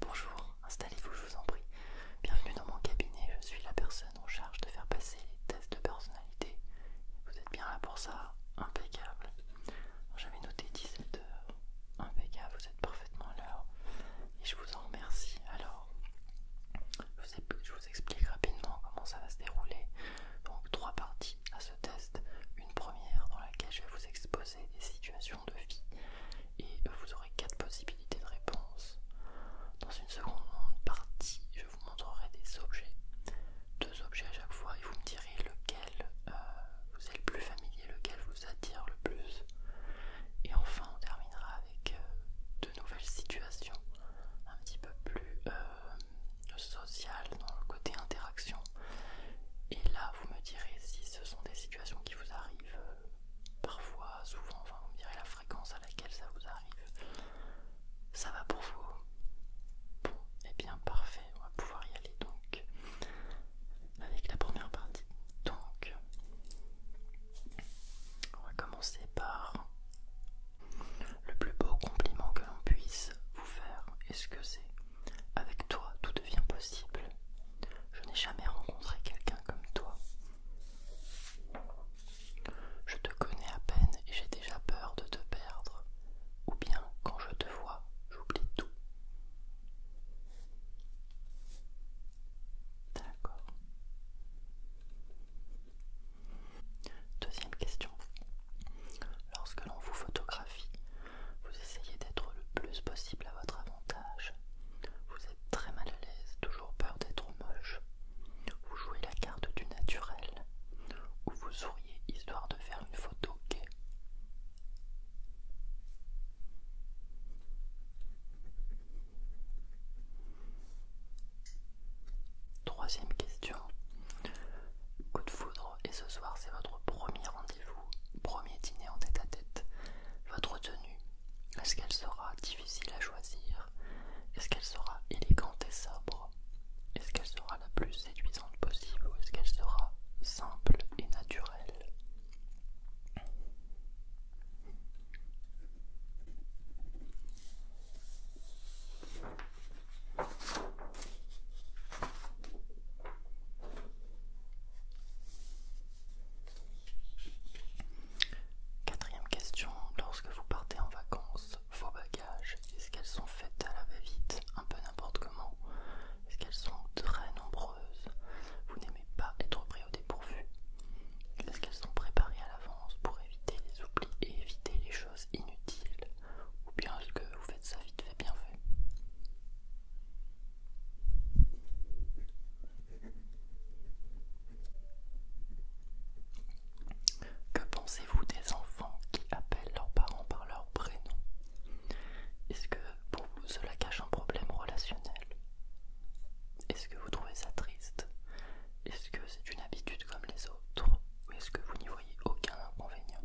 Bonjour, installez-vous, je vous en prie. Bienvenue dans mon cabinet, je suis la personne en charge de faire passer les tests de personnalité. Vous êtes bien là pour ça Impeccable. J'avais noté 17 h Impeccable, vous êtes parfaitement à Et je vous en remercie. Alors, je vous explique rapidement comment ça va se dérouler. Donc, trois parties à ce test. Une première dans laquelle je vais vous exposer des situations de vie et vous aurez quatre possibilités de réponse. Dans une seconde partie, je vous montrerai des objets, deux objets à chaque fois, et vous me direz lequel euh, vous est le plus familier, lequel vous attire le plus. Et enfin, on terminera avec euh, de nouvelles situations un petit peu plus euh, sociales dans le côté interaction et là, vous me direz si ce sont des situations qui vous arrivent euh, parfois, souvent, enfin, vous me direz la fréquence à laquelle ça vous arrive. Ça va pour vous Bon, et eh bien parfait, on va pouvoir y aller donc avec la première partie. Donc, on va commencer par le plus beau compliment que l'on puisse vous faire. Est-ce que c'est avec toi, tout devient possible. Je n'ai jamais rencontré quelqu'un comme toi. Je te connais à peine et j'ai déjà peur de te perdre. Ou bien, quand je te vois, j'oublie tout. D'accord. Deuxième question. Lorsque l'on vous photographie, vous essayez d'être le plus possible à votre avantage. Vous êtes très mal à l'aise, toujours peur d'être moche. Vous jouez la carte du naturel, ou vous souriez histoire de faire une photo gay Troisième question. Coup de foudre et ce soir c'est votre premier rendez-vous, premier dîner en tête à tête. Votre tenue, est-ce qu'elle sera difficile à choisir Est-ce qu'elle sera élégante et sobre Est-ce qu'elle sera la plus séduisante possible ou est-ce qu'elle sera simple et naturelle Quatrième question, lorsque vous partez en vacances, vos bagages, est-ce qu'elles sont faites à la va-vite, un peu n'importe comment Est-ce qu'elles sont très nombreuses Vous n'aimez pas être pris au dépourvu Est-ce qu'elles sont préparées à l'avance pour éviter les oublis et éviter les choses inutiles ou bien est-ce que vous faites ça vite fait bien fait Que pensez-vous des enfants qui appellent leurs parents par leur prénom Est-ce que pour vous cela cache un problème relationnel Est-ce que vous trouvez ça triste Est-ce que c'est une habitude comme les autres ou est-ce que vous n'y voyez aucun inconvénient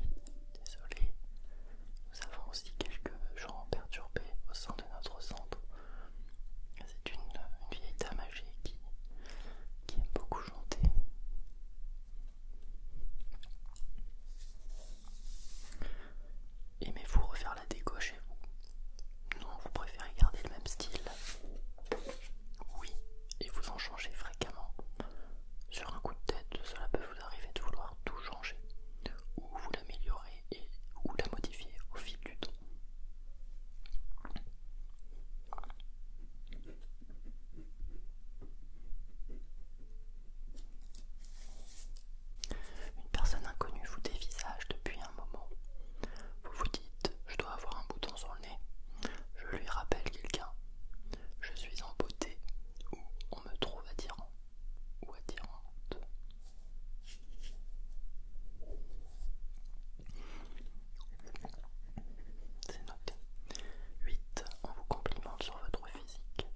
Oui, désolé, nous avons aussi quelques gens perturbés au sein de notre centre. C'est une, vieille dame âgée qui, qui aime beaucoup chanter. Aimez-vous refaire la déco chez vous non, vous préférez garder le même style Oui, et vous en changez fréquemment. Sur un coup de tête, cela peut vous arriver de vouloir tout changer, ou vous l'améliorer et ou la modifier au fil du temps. Une personne inconnue vous dévisage depuis un moment. Vous vous dites je dois avoir un bouton sur le nez. Je lui rappelle quelqu'un. Je suis en beauté ou on me trouve attirant ou attirante. C'est noté. 8. On vous complimente sur votre physique.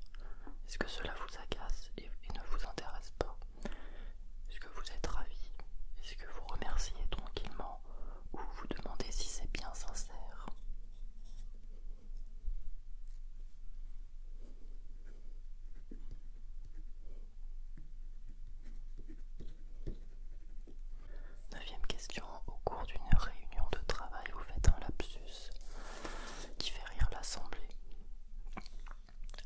Est-ce que cela vous agace et ne vous intéresse pas est-ce que vous êtes ravi Est-ce que vous remerciez tranquillement Ou vous demandez si c'est bien sincère Neuvième question, au cours d'une réunion de travail, vous faites un lapsus qui fait rire l'assemblée.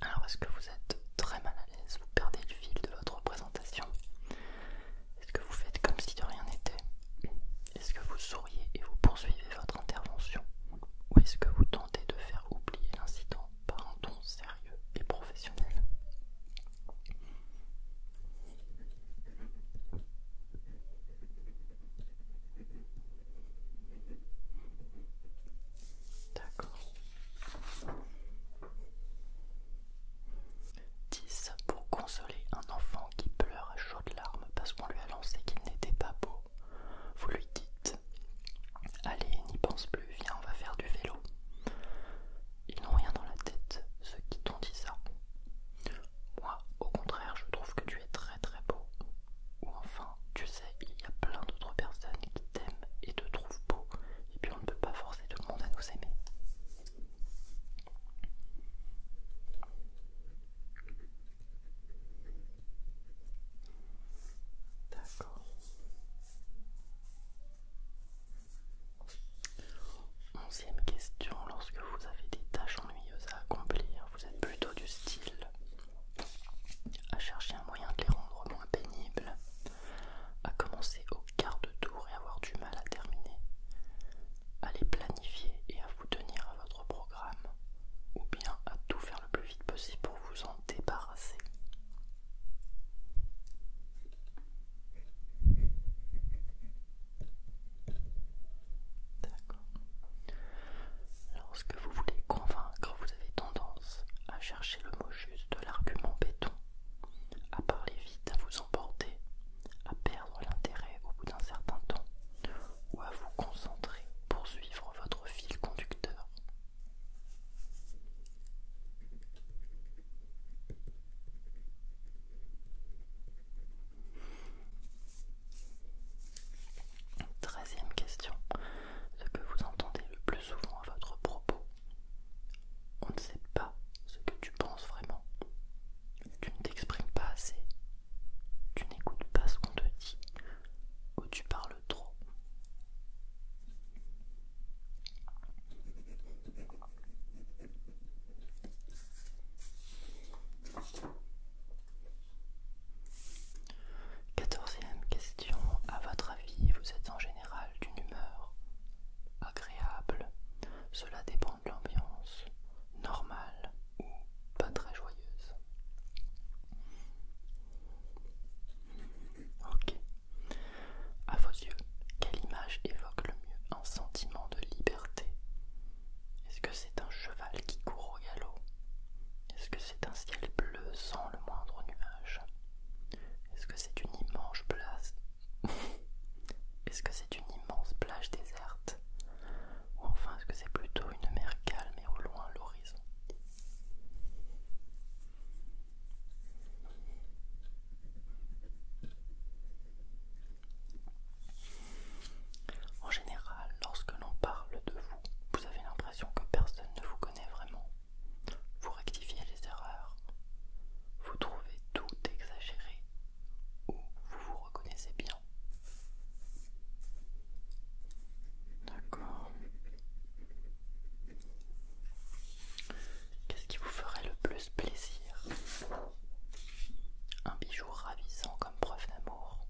Alors, est-ce que vous êtes très mal à l'aise Vous perdez le fil de votre présentation Est-ce que vous faites comme si de rien n'était Est-ce que vous souriez et vous poursuivez votre intervention Ou est-ce que vous tentez de faire oublier l'incident par un ton sérieux et professionnel D'accord. 10. Pour consoler un enfant qui pleure à chaudes larmes parce qu'on lui a lancé qu'il n'était pas beau, vous lui dites Allez, n'y pense plus, viens, on va faire du vélo. Ils n'ont rien dans la tête, ceux qui t'ont dit ça. Moi, au contraire, je trouve que tu es très très beau. Ou enfin, tu sais il y a plein d'autres personnes qui t'aiment et te trouvent beau. Et puis on ne peut pas forcer tout le monde à nous aimer. D'accord. Onzième question, lorsque vous avez des tâches ennuyeuses à accomplir, vous êtes plutôt du style à chercher un moyen de les rendre moins pénibles à commencer au quart de tour et avoir du mal à terminer, à les planifier et à vous tenir à votre programme, ou bien à tout faire le plus vite possible pour vous en débarrasser. D'accord. Lorsque vous voulez convaincre, vous avez tendance à chercher le mot juste de l'argument béton, à parler vite, à vous emporter, à perdre l'intérêt au bout d'un certain temps, ou à vous concentrer pour suivre votre fil conducteur. Treizième question. Ce que vous entendez le plus souvent à votre propos. On ne sait pas ce que tu penses vraiment. Tu ne t'exprimes pas assez. Tu n'écoutes pas ce qu'on te dit. Ou tu parles trop. Quatorzième question. À votre avis, vous êtes en général d'une humeur agréable. Cela dépend de l'ambiance, normale ou pas très joyeuse. Ok. À vos yeux, quelle image évoque le mieux un sentiment de liberté Est-ce que c'est un cheval qui court au galop Est-ce que c'est un ciel bleu sans le moindre nuage est-ce que c'est une immense place Est-ce que c'est une immense plage déserte Ou enfin est-ce que c'est plutôt une mer calme et au loin l'horizon En général, lorsque l'on parle de vous, vous avez l'impression que personne ne vous connaît vraiment vous rectifiez les erreurs, vous trouvez tout exagéré ou vous vous reconnaissez bien. D'accord. Qu'est-ce qui vous ferait le plus plaisir Un bijou ravissant comme preuve d'amour,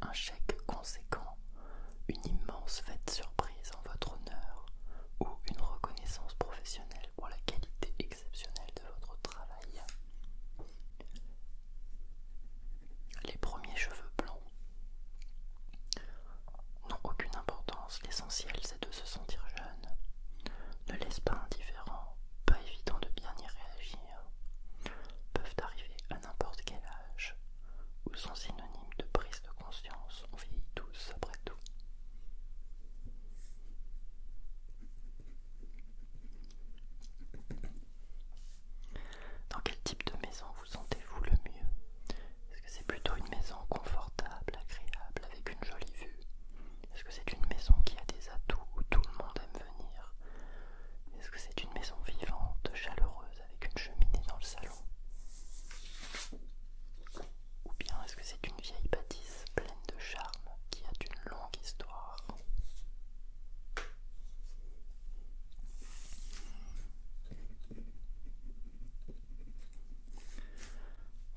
un chèque conséquent une immense fête surprise en votre honneur ou une reconnaissance professionnelle pour la qualité exceptionnelle de votre travail. Les premiers cheveux blancs n'ont aucune importance, l'essentiel c'est de se sentir jeune. Ne laisse pas indifférent, pas évident de bien y réagir. Peuvent arriver à n'importe quel âge ou sont synonymes de prise de conscience, on vieillit tous après tout. Dans quel type de maison vous sentez-vous le mieux Est-ce que c'est plutôt une maison confortable, agréable, avec une jolie vue Est-ce que c'est une maison qui a des atouts où tout le monde aime venir Est-ce que c'est une maison vivante, chaleureuse avec une cheminée dans le salon Ou bien est-ce que c'est une vieille bâtisse pleine de charme qui a une longue histoire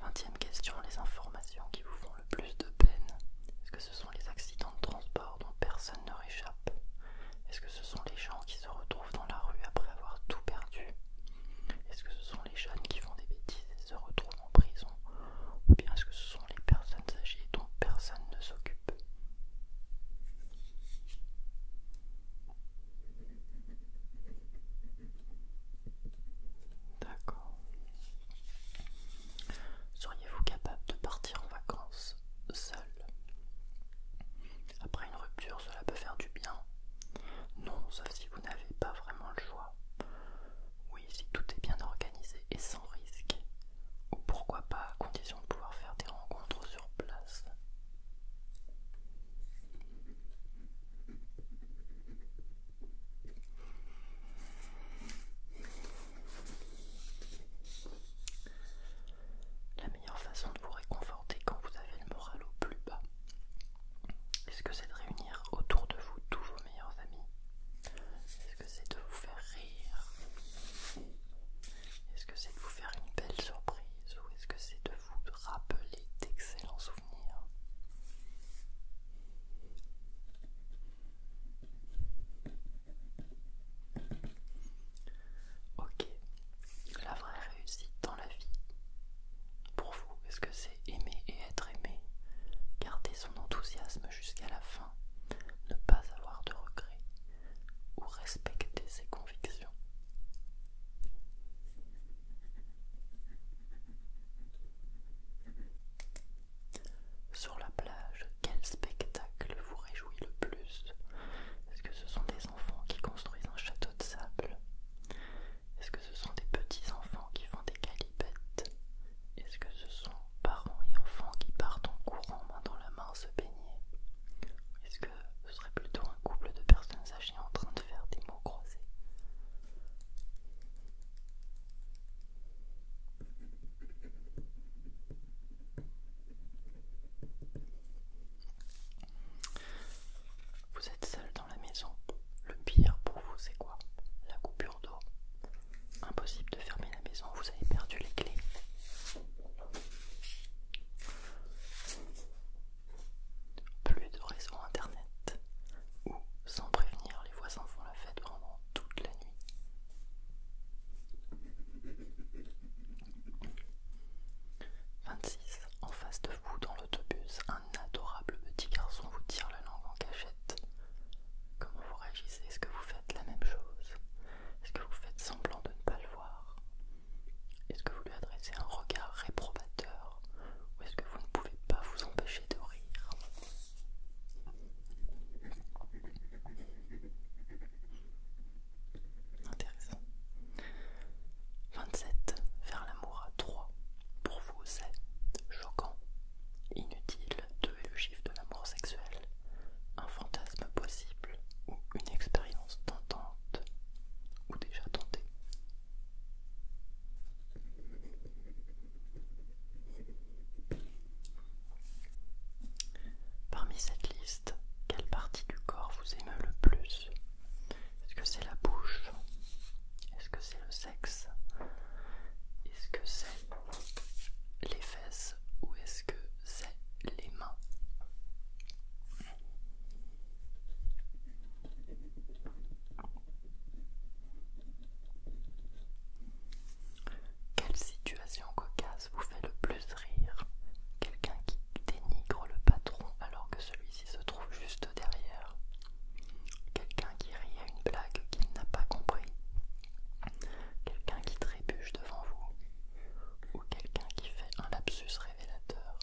Vingtième question, les informations qui vous font le plus de peine Est-ce que ce sont les accidents de transport dont personne ne réchappe Est-ce que ce sont les gens qui se retrouvent dans la rue après avoir tout perdu Est-ce que ce sont les jeunes qui font des bêtises et se retrouvent en prison Ou bien est-ce que ce sont les personnes âgées dont personne ne s'occupe D'accord. Seriez-vous capable de partir en vacances après une rupture, cela peut faire du bien. Non, sauf si vous n'avez pas vraiment le choix. Oui, si tout est bien organisé et sans risque. Ou pourquoi pas à condition de pouvoir faire des rencontres sur place la meilleure façon de vous réconforter quand vous avez le moral au plus bas, est-ce que c'est de réunir autour de vous tous vos meilleurs amis Est-ce que c'est de vous faire rire Est-ce que c'est de vous faire une belle surprise Ou est-ce que c'est de vous rappeler d'excellents souvenirs Ok, la vraie réussite dans la vie, pour vous, est-ce que c'est aimer et être aimé, garder son enthousiasme jusqu'à la fin, ne pas avoir de regrets ou respecter ses convictions Sur la plage, quel spectacle vous réjouit le plus Est-ce que ce sont des enfants qui construisent un château de sable Est-ce que ce sont des petits-enfants qui font des calipettes Est-ce que ce sont parents et enfants qui partent en courant main dans la main se baigner Est-ce que ce serait plutôt un couple de personnes âgées en train de faire des mots croisés vous êtes seul dans la maison. Le pire pour vous, c'est quoi La coupure d'eau. Impossible de fermer la maison, vous avez perdu les clés. Plus de réseau internet. Ou, sans prévenir, les voisins font la fête pendant toute la nuit. 26. En face de vous, dans l'autobus, un adorable petit garçon vous tire la langue en cachette. Comment vous réagissez Est-ce que vous faites la même chose Est-ce que vous faites semblant de ne pas le voir Est-ce que vous lui adressez un regard réprobateur Ou est-ce que vous ne pouvez pas vous empêcher de rire Intéressant. 27. Faire l'amour à 3. Pour vous, c'est choquant, inutile. 2 le chiffre de l'amour sexuel. Un fantasme possible ou une expérience tentante ou déjà tentée. Parmi cette liste, quelle partie du corps vous émeut le plus Est-ce que c'est la bouche Est-ce que c'est le sexe Est-ce que c'est les fesses Ou est-ce que c'est les mains quelle situation cocasse vous fait le plus rire Quelqu'un qui dénigre le patron alors que celui-ci se trouve juste derrière. Quelqu'un qui rit à une blague qu'il n'a pas compris. Quelqu'un qui trébuche devant vous. Ou quelqu'un qui fait un lapsus révélateur.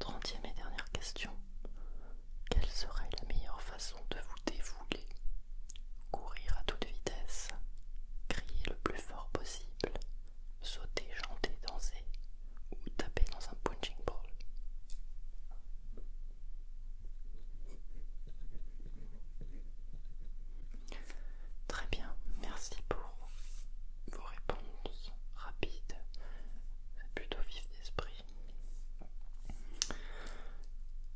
30 ème et dernière question. Quelle serait la meilleure façon de vous défouler Courir à toute vitesse, crier le plus fort possible, sauter, chanter, danser ou taper dans un punching ball Très bien, merci pour vos réponses rapides. plutôt vif d'esprit.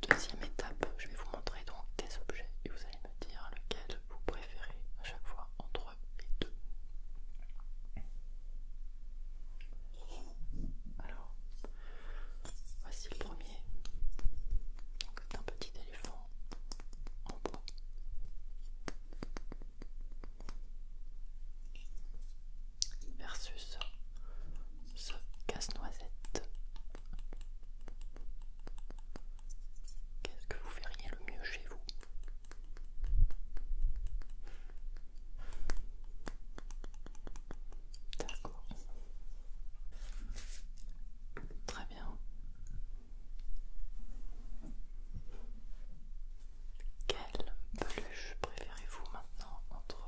Deuxième étape, je vais vous montrer donc des objets et vous allez me dire lequel vous préférez à chaque fois entre les deux. Alors, Voici le premier. Donc un petit éléphant en bois. Versus ce casse-noisette. Qu'est-ce que vous feriez le mieux chez vous D'accord. Très bien. Quelle peluche préférez-vous maintenant entre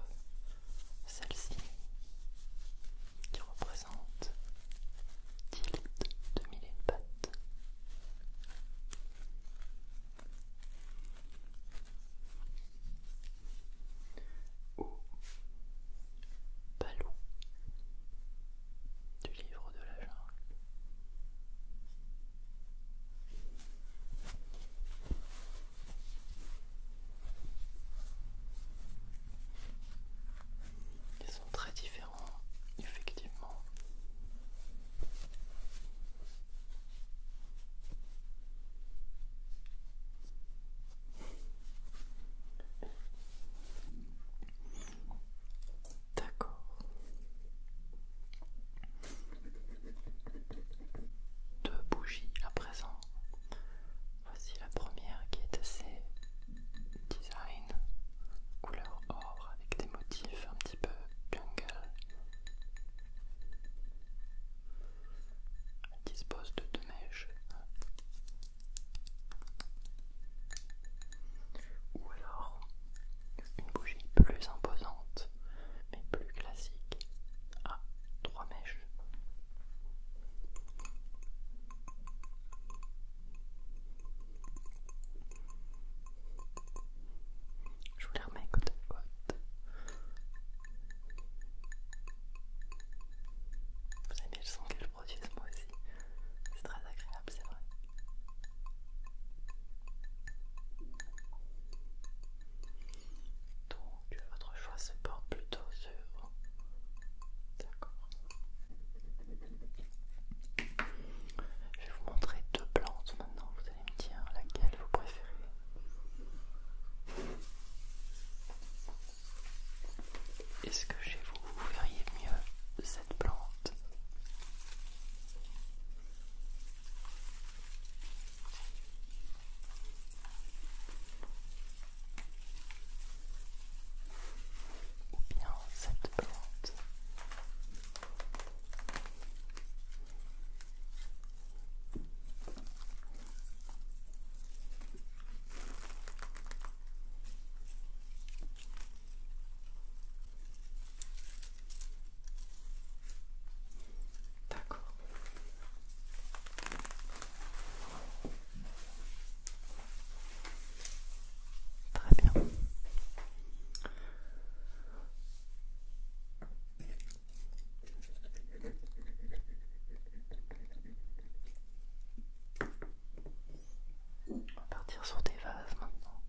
celle-ci qui représente litres de mille de pattes au palou du livre de la jungle. Ils sont très différents, effectivement. D'accord. Deux bougies à présent. Voici la première qui est assez design, couleur or avec des motifs un petit peu jungle. Elle dispose de deux. Ou alors une bougie plus imposante mais plus classique à trois mèches. Je vous les remets côte à côte. Vous aimez le son que je produise moi aussi. C'est très agréable, c'est vrai. Donc euh, votre choix se porte plutôt sur... D'accord. Je vais vous montrer deux plantes maintenant, vous allez me dire laquelle vous préférez. Est-ce que chez vous, vous verriez mieux cette plante Ou bien cette plante D'accord. Très bien. On va partir sur des vases maintenant.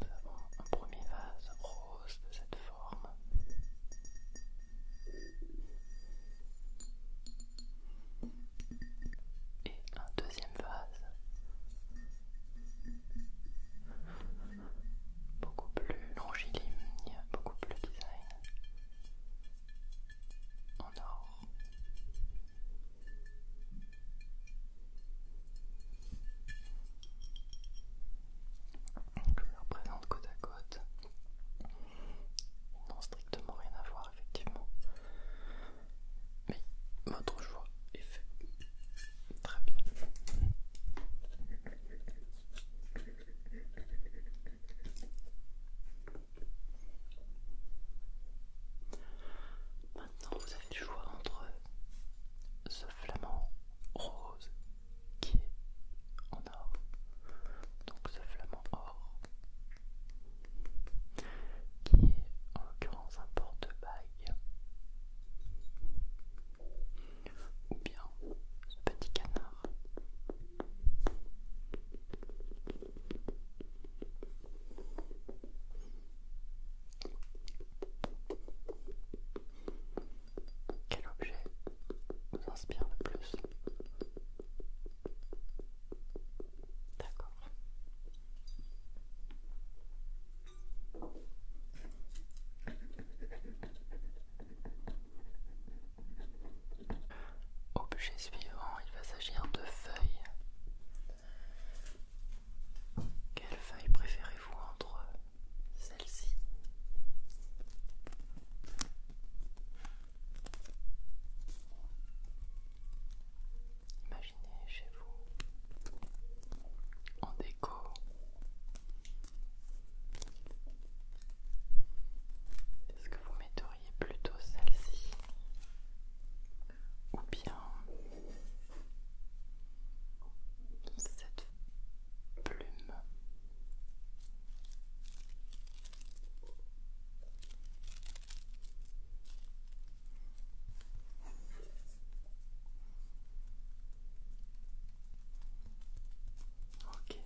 Nous avons un premier vase rose de cette forme. Et un deuxième vase beaucoup plus longiligne, beaucoup plus design en or. Donc je les représente côte à côte. Ils n'ont strictement rien à voir effectivement. Mais votre choix est fait. Très bien. Maintenant, vous avez le choix entre ce flamand rose qui est en or, donc ce flamand or qui est en l'occurrence un porte-bague ou bien ce petit canard. Quel objet vous inspire le plus D'accord. Objet suivant, il va s'agir de feuilles. Quelle feuille préférez-vous entre celles ci Imaginez chez vous en est-ce que vous mettriez plutôt celle-ci ou bien cette plume Ok.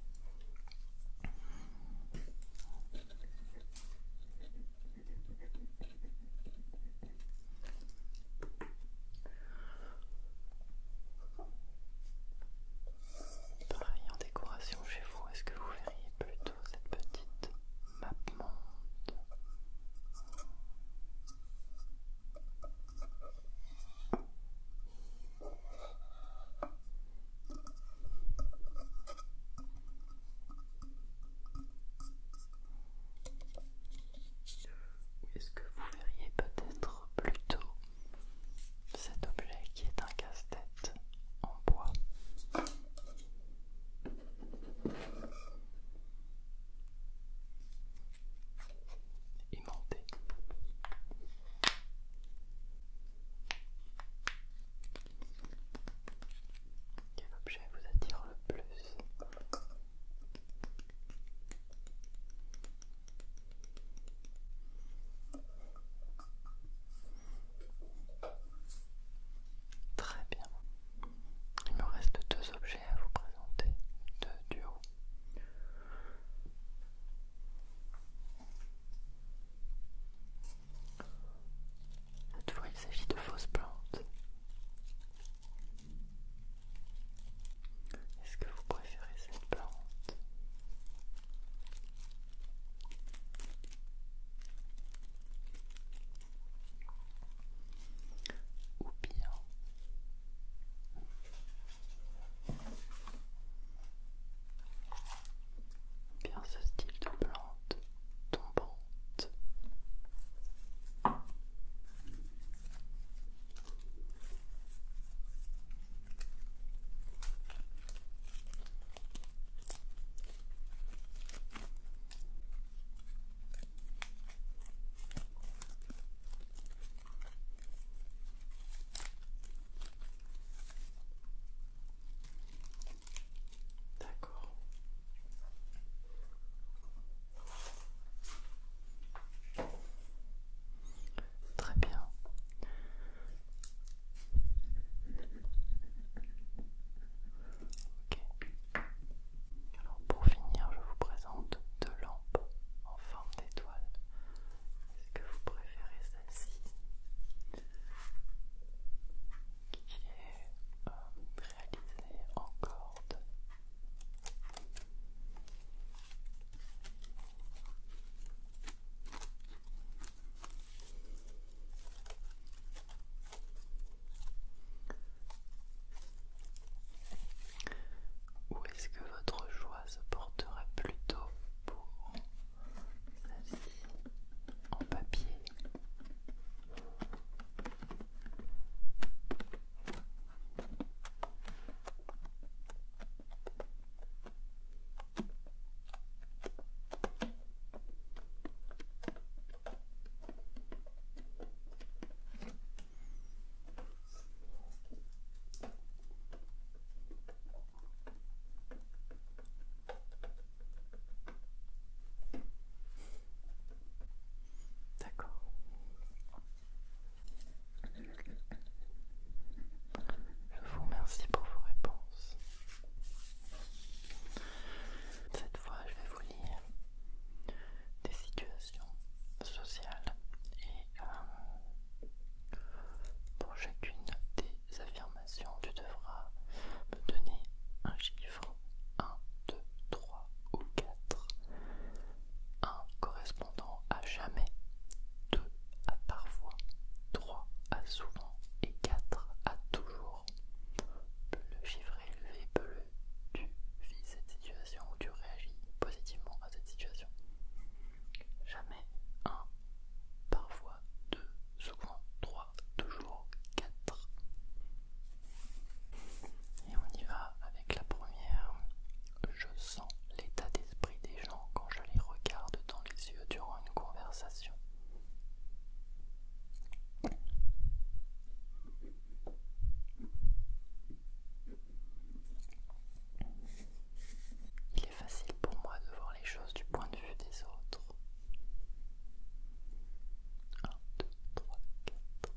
Pareil en décoration chez vous, est-ce que vous verriez plutôt cette petite map où est-ce que vous verriez peut-être plutôt cet objet qui est un casse-tête en bois Imanté. Quel objet vous attire le plus Très bien. Il me reste deux objets à vous présenter deux duos. il s'agit de fausses plantes. Est-ce que vous préférez cette plante ou bien Bien ce style de plante tombante. D'accord. Très bien. Alors pour finir, je vous présente deux lampes en forme d'étoile. Est-ce que vous préférez celle-ci qui est euh, réalisée en corde où est-ce que votre choix se portera plutôt pour celle-ci en papier D'accord. Je vous remercie pour vos réponses. Cette fois, je vais vous lire des situations sociales et euh, pour chacune des affirmations tu devras me donner un chiffre 1, 2, 3 ou 4 1 correspondant à jamais 2 à parfois 3 à souvent et 4 à toujours le chiffre est élevé plus tu vis situation où tu réagis positivement à cette situation. Jamais un, parfois deux, souvent trois, toujours quatre. Et on y va avec la première. Je sens l'état d'esprit des gens quand je les regarde dans les yeux durant une conversation. Il est facile pour moi de voir les choses du point de vue des autres. 1, 2, 3, 4.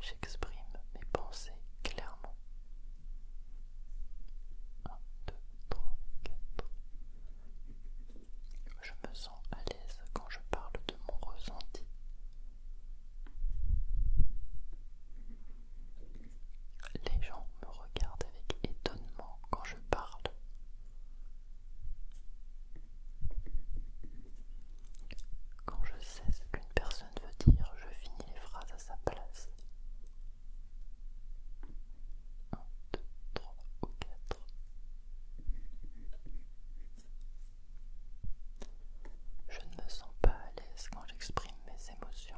J'exprime mes pensées clairement. 1, 2, 3, 4. Je me sens à l'aise quand je parle de mon ressenti. Les gens me regardent avec étonnement quand je parle. Quand je sais ce qu'une personne veut dire, je finis les phrases à sa place. 1, 2, 3 ou 4. Je ne me sens pas à l'aise quand j'exprime mes émotions.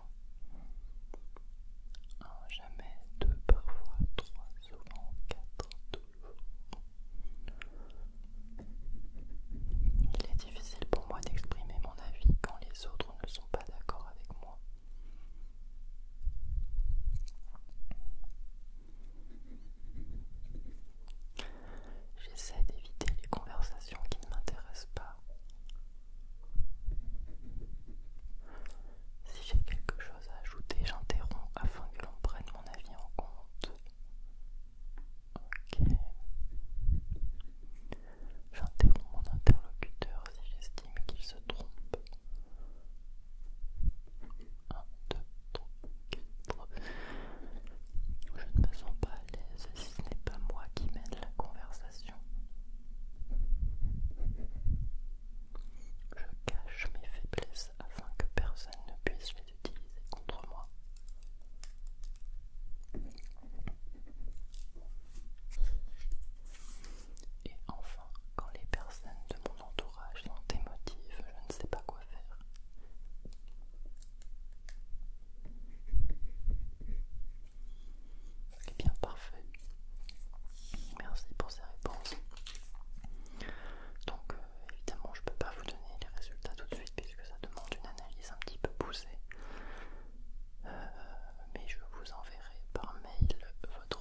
jamais, deux parfois, trois souvent, quatre toujours. Il est difficile pour moi d'exprimer mon avis quand les autres ne sont pas d'accord avec moi. J'essaie d'éviter les conversations qui ne m'intéressent pas. Si j'ai quelque chose à ajouter, j'interromps afin que l'on prenne mon avis en compte. Ok. J'interromps mon interlocuteur si j'estime qu'il se trompe 2, 3, 4. Je ne me sens pas à l'aise si ce n'est pas moi qui mène la conversation. Je cache mes faiblesses afin que personne ne puisse les utiliser contre moi. Et enfin, quand les personnes de mon entourage, motifs, je ne sais pas quoi faire. Eh bien, parfait. Merci pour ces réponses. Donc, euh, évidemment, je ne peux pas vous donner les résultats tout de suite puisque ça demande une analyse un petit peu poussée. Euh, mais je vous enverrai par mail votre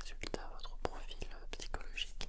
résultat, votre profil psychologique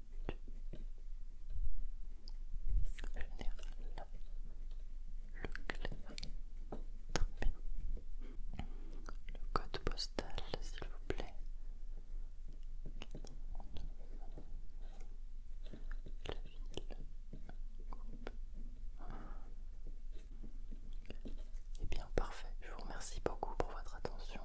le code postal, s'il vous plaît. Et eh bien, parfait. Je vous remercie beaucoup pour votre attention.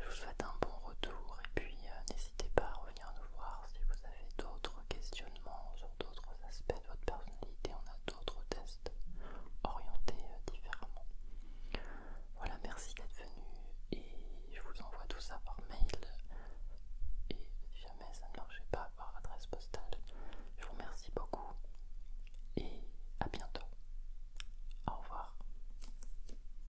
Je vous souhaite un bon retour et puis euh, n'hésitez pas à revenir nous voir si vous avez d'autres questionnements sur d'autres aspects de votre personnalité. On a d'autres tests orientés euh, différemment. Voilà, merci d'être venu et je vous envoie tout ça par mail. Et si jamais ça ne marche pas par adresse postale, je vous remercie beaucoup et à bientôt. Au revoir.